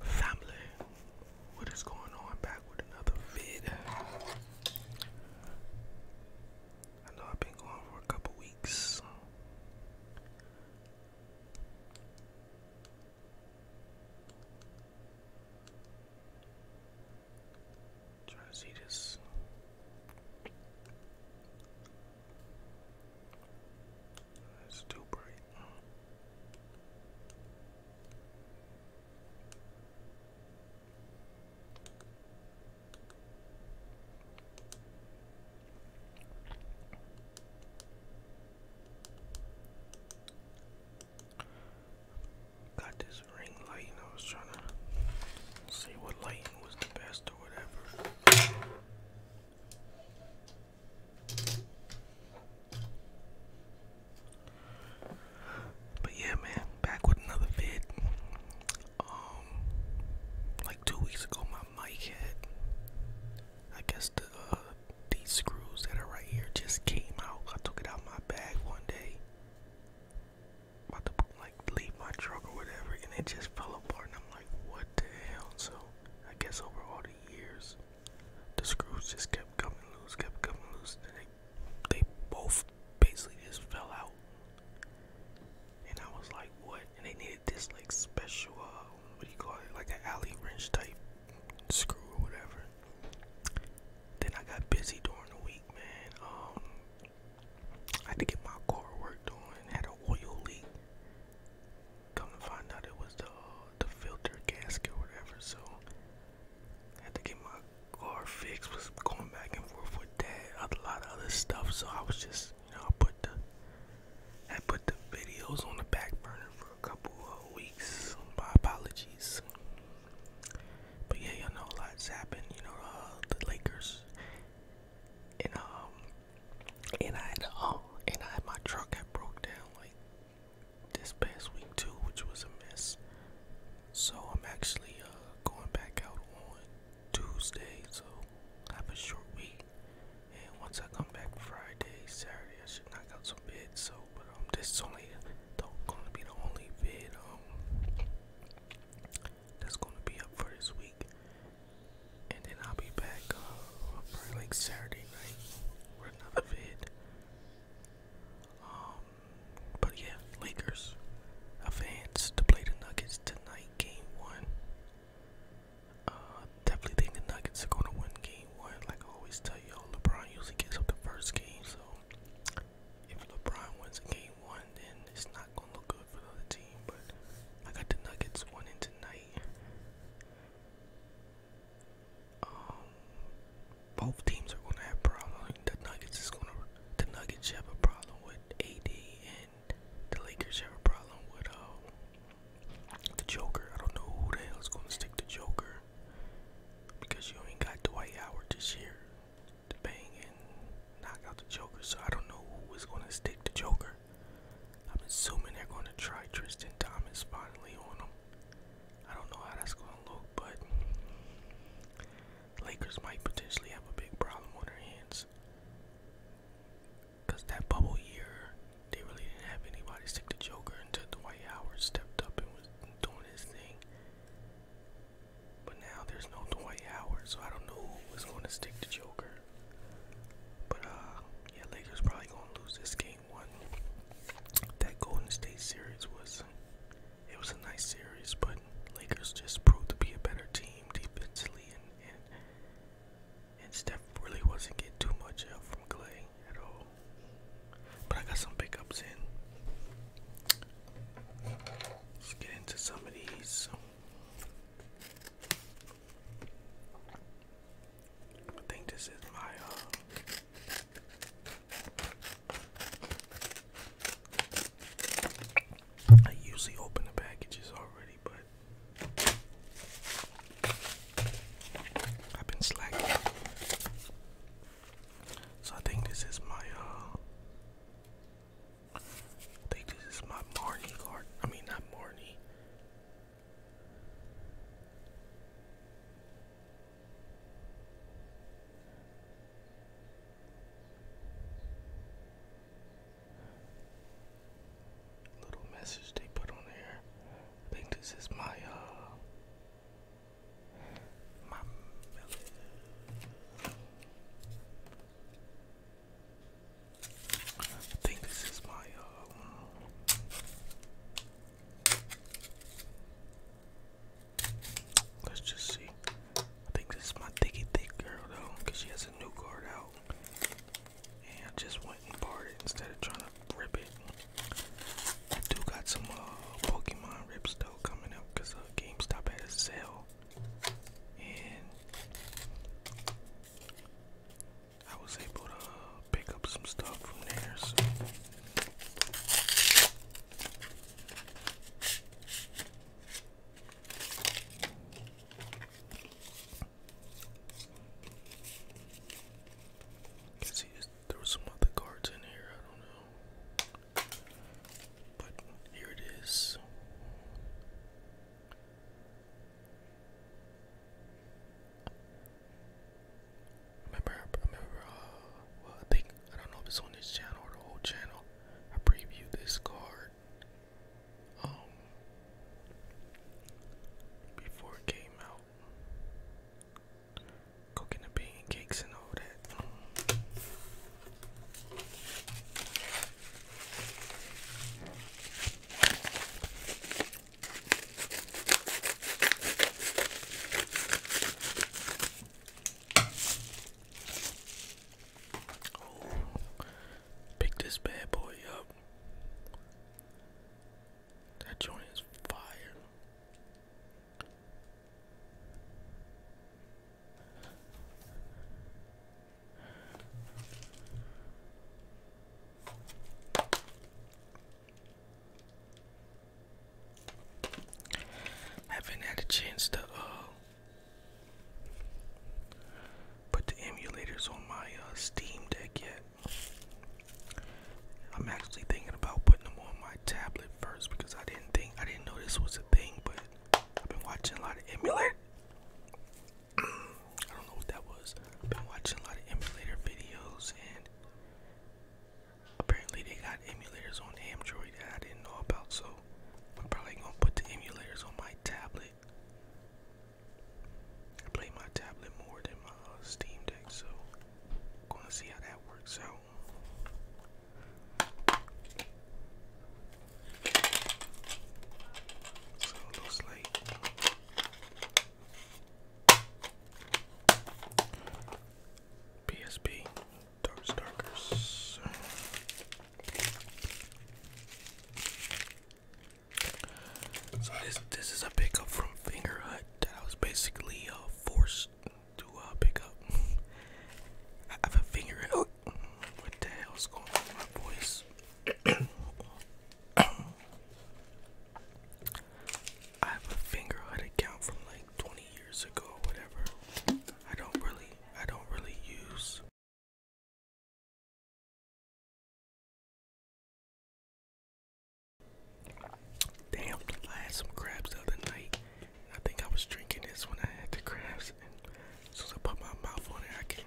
Family, what is going on? Back with another vid. I know I've been going for a couple weeks. Trying to see this. It's too bright. Got this ring light and I was trying to see what lighting was the best but yeah, man, back with another vid. Um, like two weeks ago, my mic had, I guess the uh, these screws that are right here just came out. I took it out my bag one day, about to like leave my truck or whatever, and it just fell apart. And I'm like, what the hell? So I guess over all the years, the screws just kept coming loose, kept coming loose, and they they both basically just fell out. And I was like, what? And they needed this like special, uh, what do you call it? Like an alley wrench type screw or whatever. Then I got busy during the week, man. Um, I had to get my car work doing, had an oil leak. Come to find out it was the the filter gasket or whatever, so I had to get my car fixed, was going back and forth with that, a lot of other stuff, so I was just you know, I put the I put the videos on the back burner for a couple of weeks. My apologies. But yeah, y'all know a lot's happened. You know, uh, the Lakers and um and I had oh and I had my truck had broke down like this past week too, which was a mess. So I'm actually uh going back out on Tuesday, so I have a short week. And once I come back Friday, Saturday, I should knock out some vids. So, but um, this is only the, gonna be the only vid um that's gonna be up for this week. And then I'll be back uh, for like Saturday night for another vid. Um, but yeah, Lakers advance to play the Nuggets tonight, game one. Uh, definitely think the Nuggets are gonna win game one. Like I always tell y'all, LeBron usually gets up the first game, so if LeBron wins game one, then it's not gonna look good for the team, but I got the Nuggets winning tonight. Um, both teams are gonna have problems. The Nuggets is gonna, the Nuggets have a problem with AD, and the Lakers have a problem with uh, the Joker. I don't know who the hell is gonna stick the Joker because you ain't got Dwight Howard this year to knock out the Joker, so I don't know who is gonna stick the Joker. I'm assuming they're gonna try Tristan Thomas finally on him. I don't know how that's gonna look, but Lakers might potentially have a big problem on their hands. Cause that bubble year, they really didn't have anybody stick the Joker until Dwight Howard stepped up and was doing his thing. But now there's no Dwight Howard, so I don't know who was going to stick the Joker. But uh, yeah, Lakers probably gonna lose this game one. That Golden State series was, it was a nice series, but Lakers just proved to be a better team defensively, and and, Steph really wasn't getting too much help from Clay at all. But I got some pickups in. Let's get into some of these. I think this is my uh, I usually open the packages already, but I've been slacking. So I think this is my uh, I think this is my Marnie card. I mean, not Marnie. Little message they put on there. I think this is my uh my I think this is my uh um, let's just see. I think this is my thicky thick girl though, she has a new card out. And I just went and bought instead of trying to rip it. I do got some uh, Pokemon rips though coming up uh, GameStop had a sale. And I was able to pick up some stuff from there. So. I see there was some other cards in here, I don't know. But here it is. Remember, remember, uh, well, I think, I don't know if it's on this channel or the whole channel, I previewed this card, um, before it came out. Cooking the pancakes and all that pick this bad boy up. That joint is fire. I Haven't had a chance to uh, put the emulators on my uh, Steam Deck yet. I'm actually thinking about putting them on my tablet first because I didn't think I didn't know this was a thing, but I've been watching a lot of emulator I don't know what that was. have been watching a lot of emulator videos, and apparently they got emulators on Android that I didn't know about. So I'm probably gonna put the emulators on my tablet. I play my tablet more than my uh, Steam Deck, so I'm gonna see how that works out. So it looks like PSP Dark Starkers. So this this is a pickup from Finger Hut that I was basically uh, forced to uh, pick up. I have a finger. Oh, what the hell's going on with my voice? I have a fingerhood account from like 20 years ago whatever. I don't really I don't really use Damn, I had some crabs the other night. I think I was drinking this when I had the crabs and I put my mouth on it I can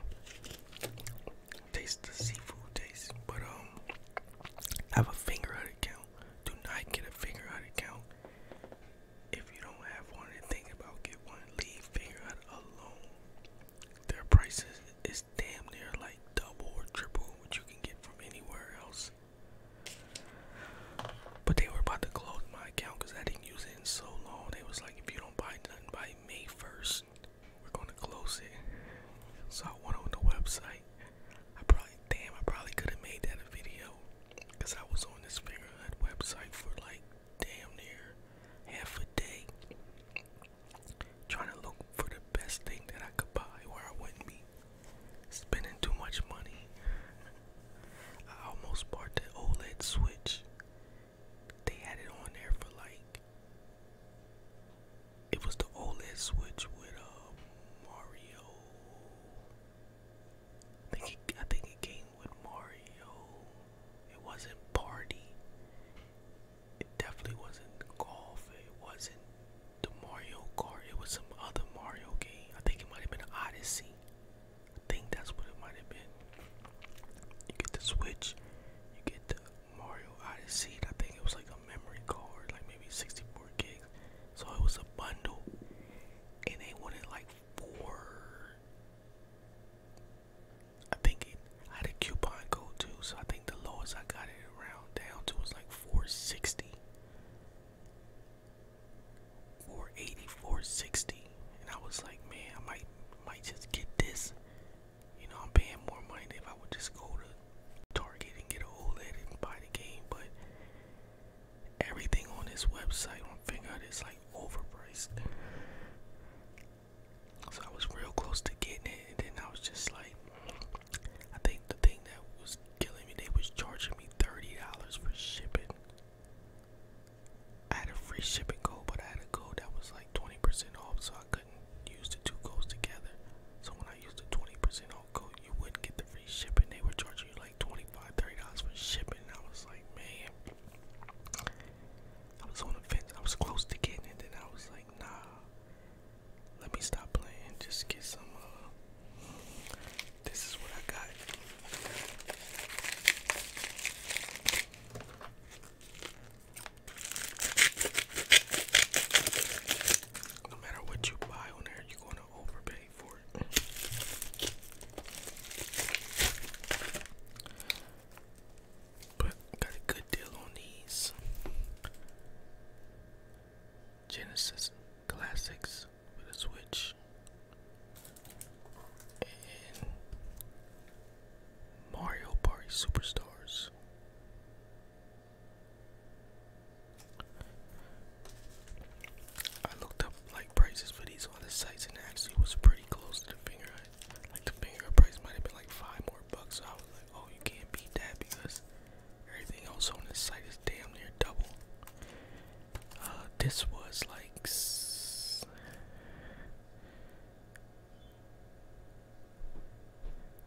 taste the seafood taste, but um, have a finger out account. Do not get a finger out account. If you don't have one and think about get one, leave finger out alone. Their prices is damn near like double or triple what you can get from anywhere else. But they were about to close my account because I didn't use it in so long. They was like, if you don't buy nothing by May 1st, we're going to close it. So I went on the website. I probably, damn, I probably could have made that a video I was on this Fingerhood website for like damn near half a day trying to look for the best thing that I could buy where I wouldn't be spending too much money. I almost bought the OLED switch they had it on there for like it was the OLED Switch with uh, Mario. I think it, I think it came with Mario. It wasn't Party. It definitely wasn't Golf. It wasn't the Mario Kart. It was some other Mario game. I think it might have been Odyssey. I think that's what it might have been. You get the Switch. You get the Mario Odyssey. And I think it was like a memory card, like maybe 64 gigs. So it was a bundle, and they wanted like four. I think it, had a coupon code too, so I think the lowest I got it around down to was like 460. 480, 460, and I was like, man, I might might just get this you know, I'm paying more money than if I would just go to Target and get an OLED and buy the game, but everything on this website on Fingout is like overpriced. So I was real close to getting it, and then I was just like, I think the thing that was killing me, they was charging me thirty dollars for shipping. I had a free shipping code, but I had a code that was 20% off, so I couldn't use the two codes together. So when I used the 20% off code, you wouldn't get the free shipping. They were charging you like 25 $30 for shipping. And I was like, man, I was on the fence. I was close to getting it, and I was like, nah, let me stop playing. Just get some. Uh, this is what I got. No matter what you buy on there, you're gonna overpay for it. But got a good deal on these Genesis Classics with a Switch Mario Party Superstars. I looked up like prices for these on the sites and actually was pretty close to the finger. Like the finger price might have been like five more bucks. So I was like, oh, you can't beat that because everything else on this site is damn near double. Uh, this was like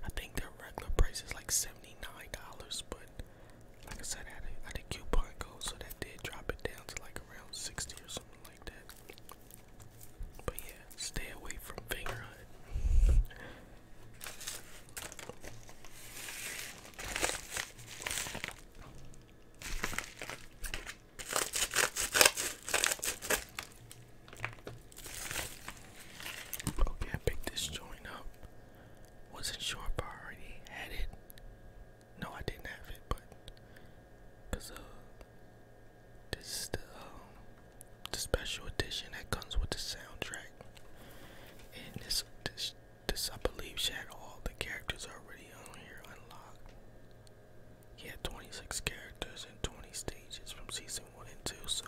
I think their regular price is like seventy nine dollars, but like I said, I had, a coupon code, so that did drop it down to like around sixty or something like that. But yeah, stay away from Finger Hut. Okay, I picked this joint up. Wasn't sure if I already had it. No, I didn't have it, but because uh, this is the um, the special edition that comes with the soundtrack, and this this this I believe she had all the characters already on here unlocked. He had 26 characters and 20 stages from season 1 and 2, so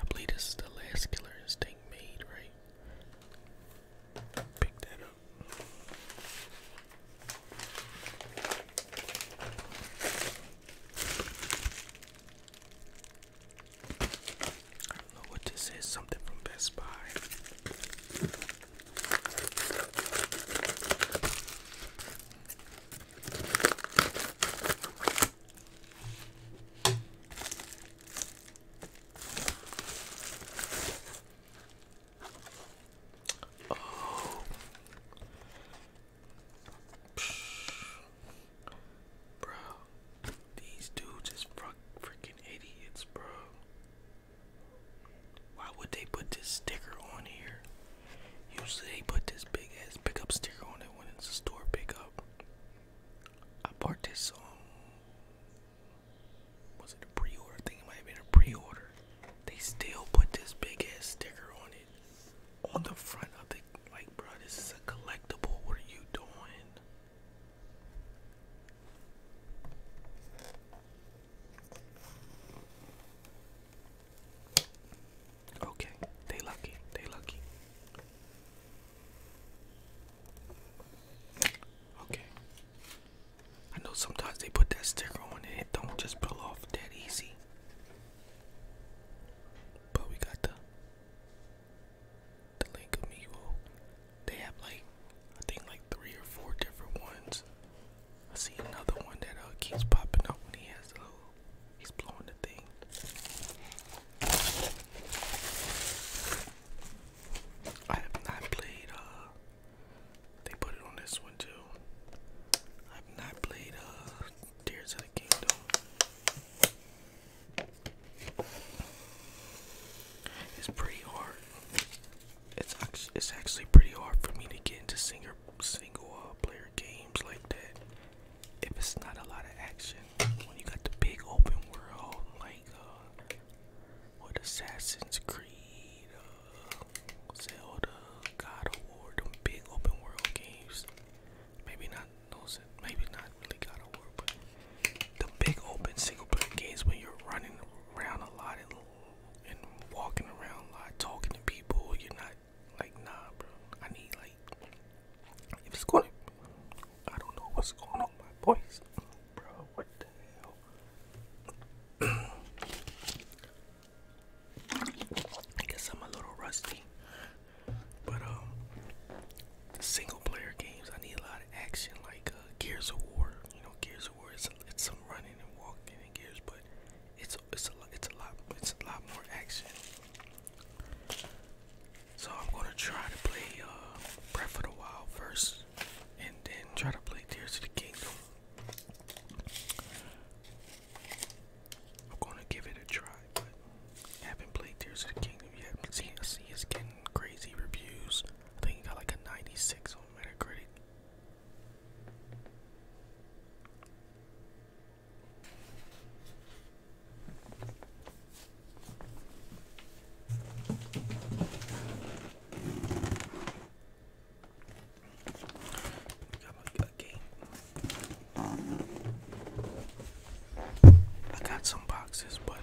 I believe this is the last Killer Instinct made, right? Pick that up. I know what this is, something from Best Buy. Oh. Bro, these dudes is freaking idiots, bro. Why would they put this sticker on here? Usually put this big ass pickup sticker on it when it's a store pickup. I bought this um was it a pre-order? I think it might have been a pre-order. They still put this big ass sticker on it on the front of the like bro this is a collectible what are you doing? Okay, they lucky, they lucky. Okay. I know sometimes they put that sticker on and it don't just peel off that easy. But we got the the link amiibo. They have like I think like three or four different ones. I see another one that uh, keeps popping up when he has a uh, little, he's blowing the thing. I have not played, uh, they put it on this one too. I have not played, uh, Tears of the Kingdom. It's pretty hard. It's actually, it's actually pretty hard for me to get into Singer single uh, player games like that if it's not a lot of action when you got the big open world like uh what Assassin's Creed uh Zelda God of War them big open world games maybe not those maybe not really God of War but the big open single player games when you're running around a lot and, and walking around a lot talking to people you're not like, nah, bro. I need like, if it's going, I don't know what's going on my boys. bro. What the hell? I guess I'm a little rusty, but um, single player games I need a lot of action, like uh, Gears of War. You know, Gears of War. It's, some running and walking in Gears, but it's it's it's a it's a lot it's a lot more action. So I'm gonna try to play uh, Breath of the Wild first, and then try to play Tears of the Kingdom. I'm gonna give it a try, but I haven't played Tears of the Kingdom yet. See, I see it's getting crazy reviews. I think it got like a 96 on Metacritic. Got I got some boxes, but um.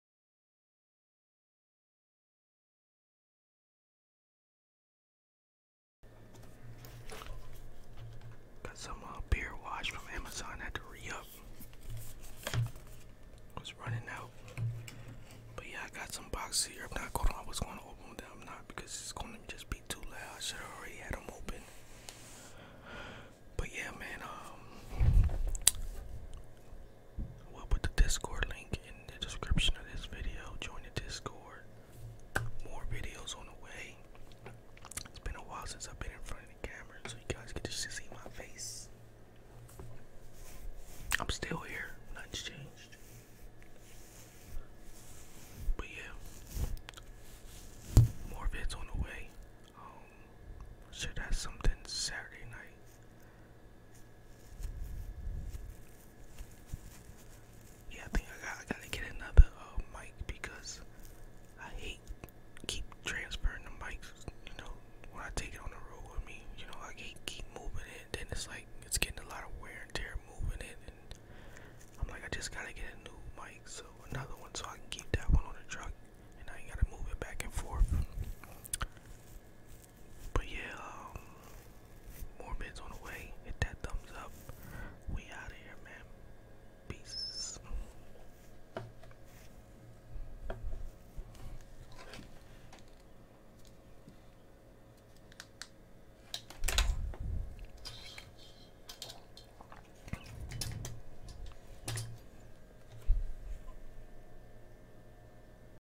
Got some uh, beer wash from Amazon. Had to re-up. Was running out. But yeah, I got some boxes here. I'm not going. I was going to open them. I'm not because it's going to just be too loud. I should have already had them open. But yeah, man. Um, We'll put the Discord link in the description of this video. Join the Discord. More videos on the way. It's been a while since I've been in front of the camera, so you guys get to see my face. I'm still here. Nothing's changed. But yeah, more vids on the way. Um, should have something Saturday night. Yeah, I think I got to get another uh, mic because I hate keep transferring the mics. You know, when I take it on the road with me, you know, I hate keep moving it. Then it's like it's getting a lot of wear and tear moving it, and I'm like, I just gotta get a new mic, so another one, so I can keep that one on the truck, and I ain't gotta move it back and forth. But yeah, um, more bids on the way. Hit that thumbs up. We out of here, man. Peace.